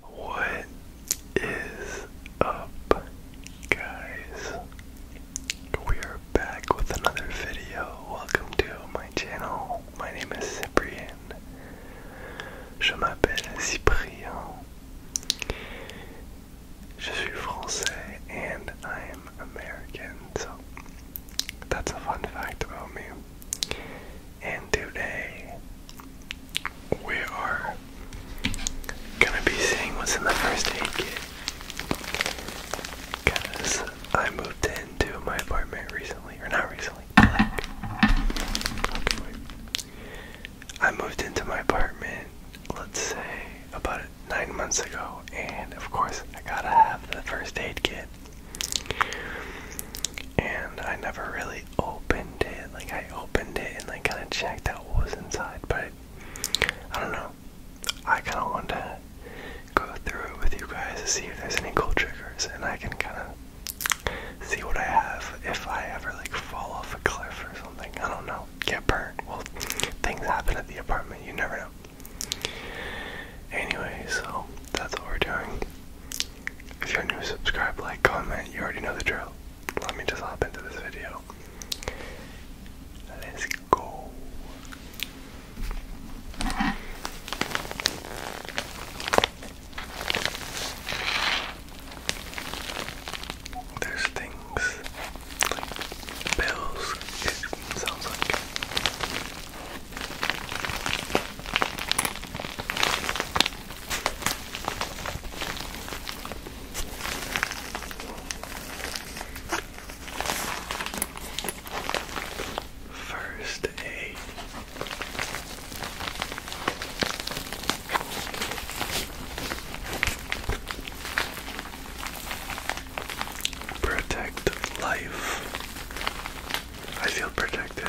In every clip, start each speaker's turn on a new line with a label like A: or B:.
A: What is up, guys? We are back with another video. Welcome to my channel. My name is Cyprien. Je m'appelle Cyprien. Je suis français and I am American, so that's a fun fact about me and today we are gonna be seeing what's in the first aid kit. Because I moved into my apartment recently, or not recently, I moved into my apartment, let's say, about nine months ago, and of course, I gotta have the first aid kit and I never really opened it. Like I opened it and like kind of checked out what was inside, but I don't know. I kind of wanted to go through it with you guys to see if there's any cool triggers, and I can kind of see what I have if I ever like fall off a cliff or something. I don't know. Get burned. Well, things happen at the apartment. You never know. Anyway, so that's what we're doing. If you're new, subscribe, like, comment. You already know the drill. Let me just hop into this video. Let's go. There's things bills, it sounds like. First aid. Protect life. I feel protected.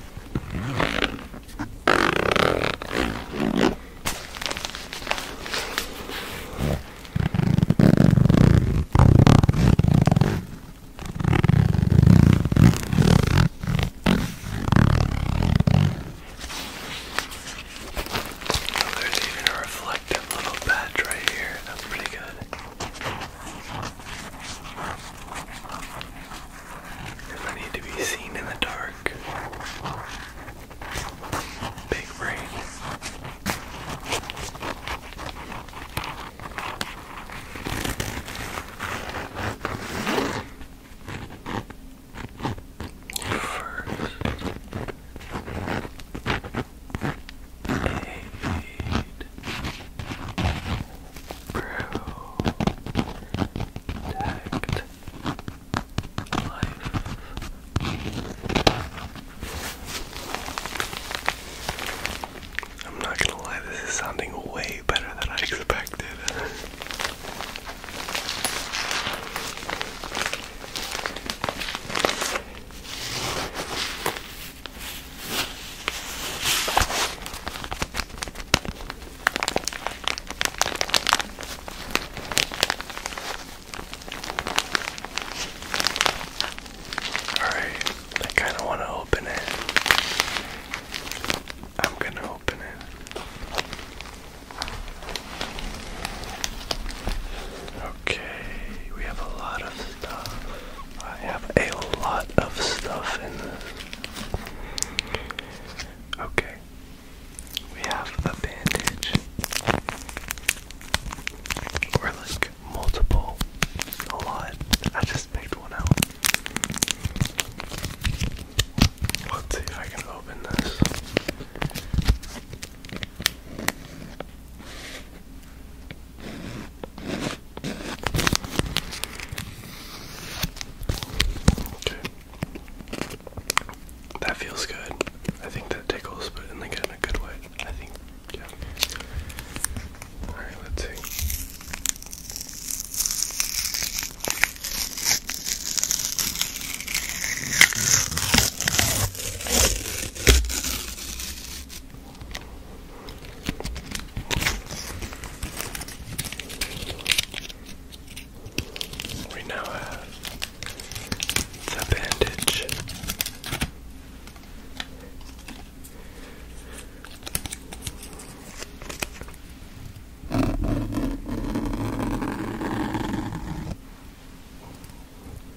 A: Now there's even a reflective little patch right here. That's pretty good. I need to be seen in the dark, big brain. First. I'm not gonna lie, this is sounding way better than I expected. Alright, I kind of want to open it. I'm going to open it. Okay, we have a lot of I have a lot of stuff in this. Okay. We have a bandage. Or like multiple. A lot. I just picked one out. Let's see if I can open this. Okay. That feels good. I think that tickles, but in like in a good way. I think yeah. Alright, let's see. We now have the bandage.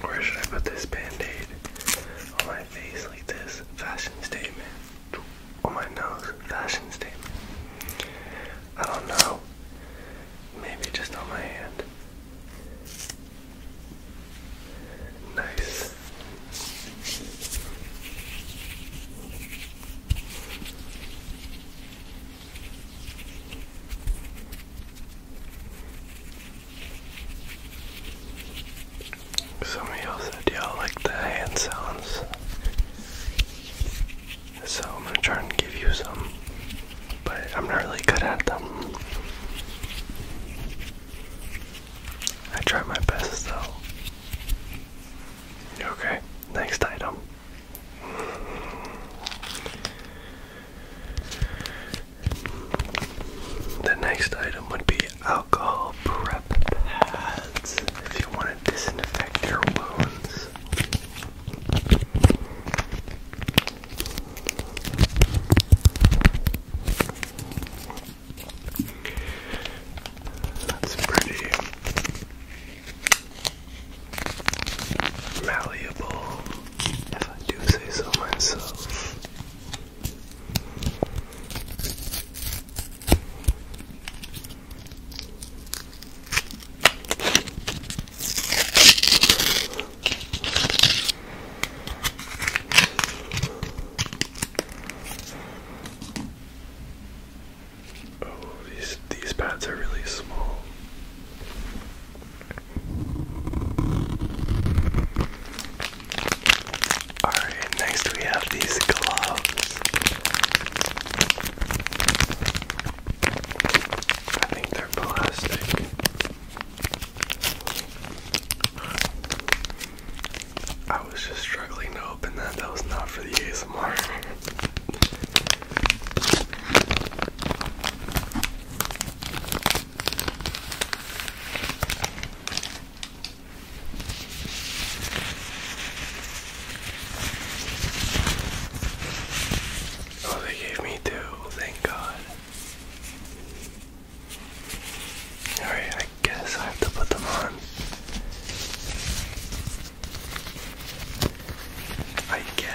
A: Where should I put this band-aid? On my face like this. Fashion statement. On my nose. Fashion statement. I don't know. Maybe just on my hand. Nice. Some of said y'all like the hand sounds. So I'm gonna try and give you some but I'm not really good at them. I try my best though. Okay, next item. The next item would be alcohol prep pads if you want to disinfect your wounds. That's pretty malleable, if I do say so myself. Oh, these these pads are really small. Alright, next we have these gloves. I think they're plastic. I was just struggling to open that. That was not for the ASMR. Oh, they gave me two. Thank God. Alright, I guess I have to put them on. I guess.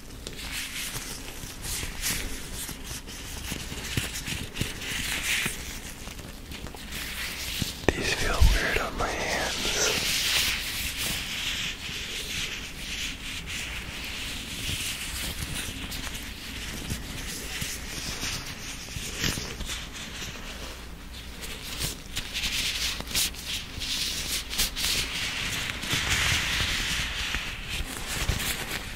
A: These feel weird on my hands.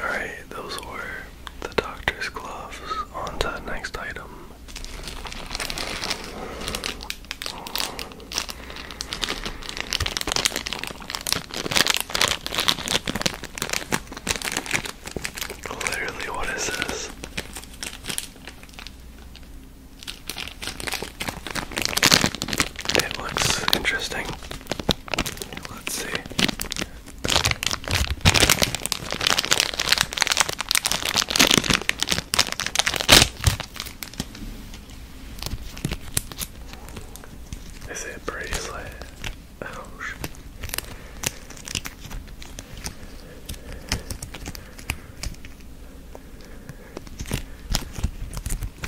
A: Alright, those were the doctor's gloves. On to the next item. Literally, what is this? It looks interesting. Let's see. Is it bracelet? Oh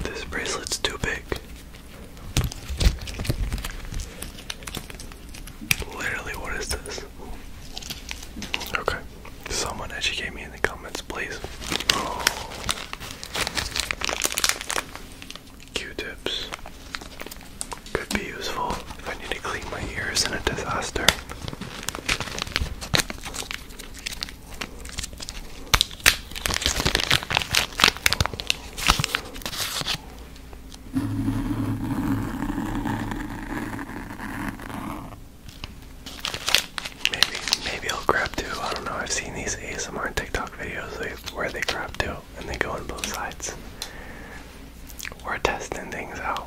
A: This bracelet's too big. Literally, what is this? Okay. Someone educate me in the comments, please. Q-tips could be useful if I need to clean my ears in a disaster. Maybe, maybe I'll grab two. I don't know. I've seen these ASMR TikTok videos where they grab two and they go on both sides. We're testing things out.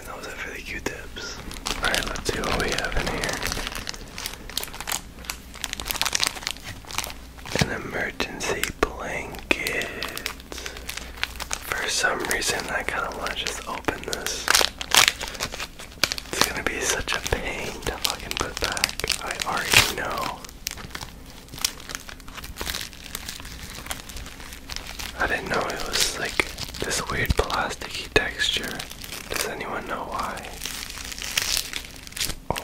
A: and that for the Q-tips. Alright, let's see what we have in here. An emergency blanket. For some reason, I kind of want to just open this. It's gonna be such a pain to fucking put back. I already know. I didn't know it was like this weird plasticky texture. Does anyone know why? Oh.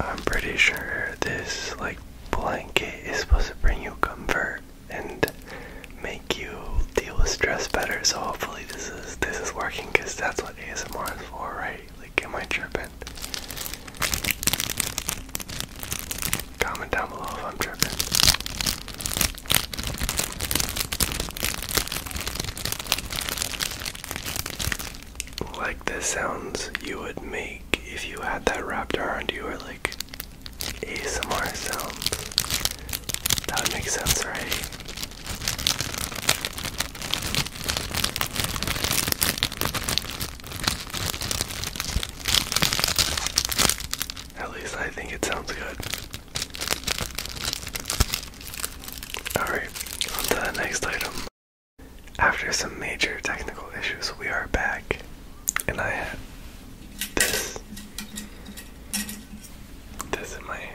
A: I'm pretty sure this like blanket is supposed to bring you comfort and make you deal with stress better. So hopefully this is this is working because that's what ASMR is for, right? Like, am I tripping? Comment down below if I'm tripping. Like the sounds you would make if you had that wrapped around you, or like ASMR sounds. That would sense, right? At least I think it sounds good. Alright, on to the next item. After some major technical issues, we are back, and I this this in my hand.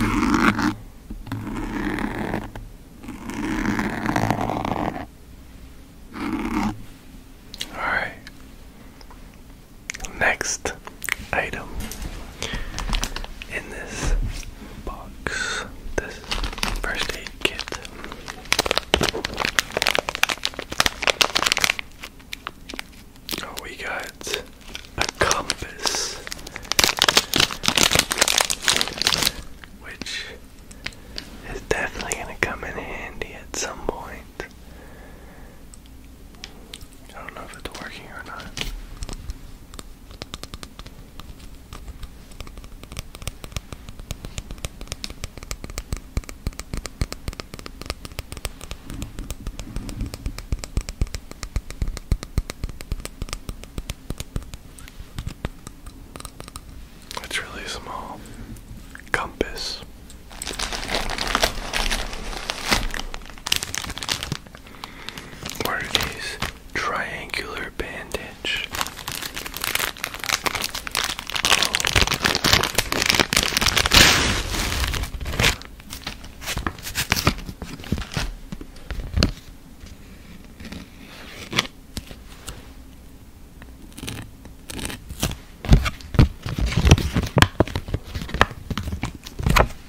A: Alright. Next item in this box. This first aid kit. Oh, we got a compass, which is definitely going to come in handy at some point. I don't know if it's working or not. It's really small. Compass. What Triangular bandage.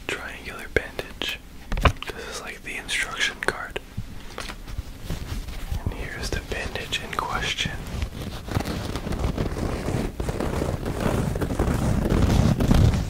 A: Triangular bandage. This is like the instruction card. And here's the bandage in question.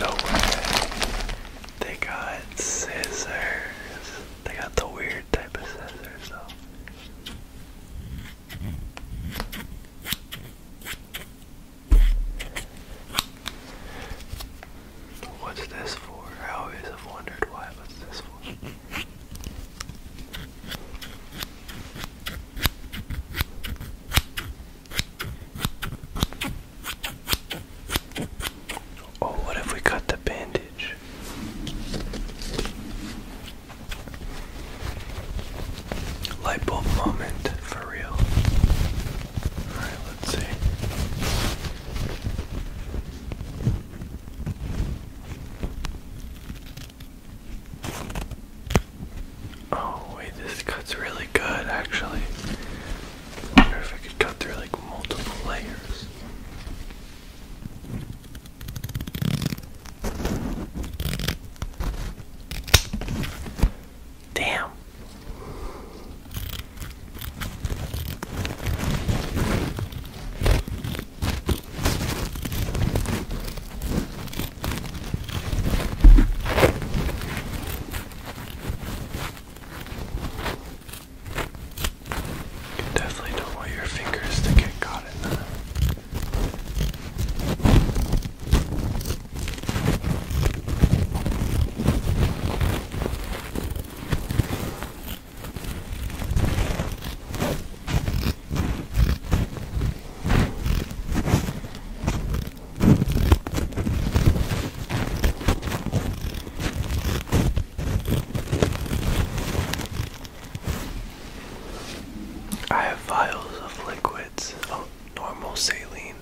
A: No They got scissors. They got the weird type of scissors though. What's this for? I always have wondered why. What's this for? Oh, what if we cut the bandage? light bulb moment for real. Alright, let's see. Oh wait, this cuts really good actually. wonder if I could cut through like multiple layers. Damn. You definitely don't want your fingers to get caught in that. I have vials of liquids. Oh, normal saline.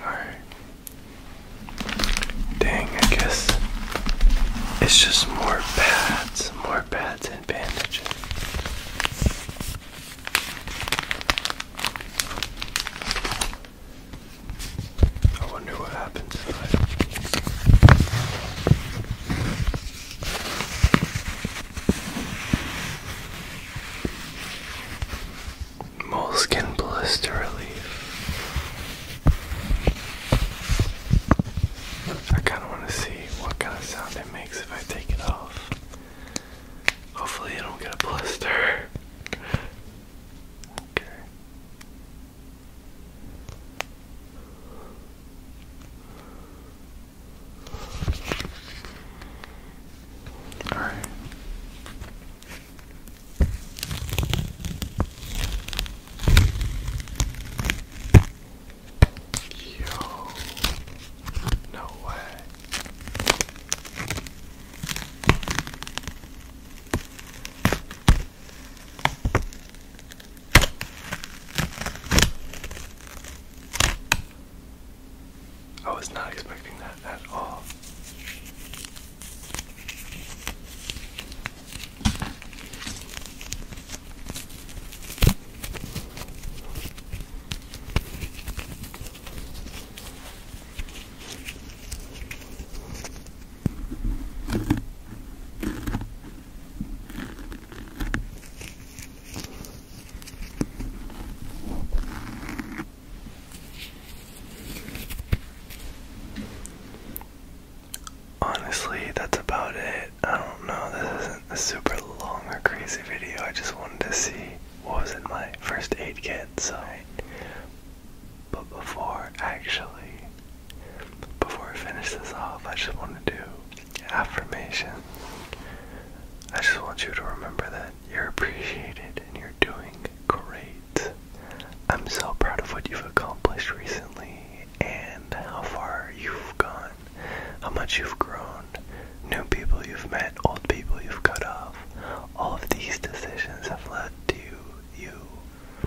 A: Alright. Dang, I guess it's just more pads, more pads and bandages. I wonder what happens if I Moleskin blister relief. I kind of want to see what kind of sound it makes if I take it off. Hopefully, I don't get a blister. Okay. All right. Yo, no way. I was not expecting that at all. Honestly, that's about it. I don't know, this isn't a super long or crazy video. I just wanted to see what was in my first aid kit, so. But before, actually, before I finish this off, I just want to do affirmation. I just want you to remember that you're appreciated and you're doing great. I'm so proud of what you've accomplished recently and how far you've gone, how much you've grown, new people you've met, old people you've cut off. All of these decisions have led to you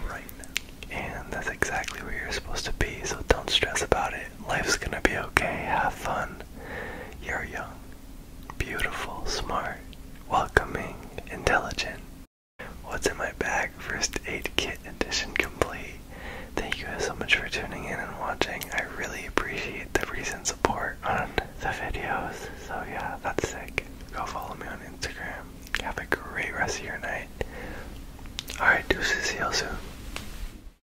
A: right now. And that's exactly where you're supposed to be, so don't stress about it. Life's gonna be okay. Have fun. You're young, beautiful, smart, welcoming, intelligent. What's in my bag? First aid kit edition complete. Thank you guys so much for tuning in and watching. I really appreciate the recent support on the videos. So yeah, that's sick. Go follow me on Instagram. Have a great rest of your night. Alright, deuces. See you soon.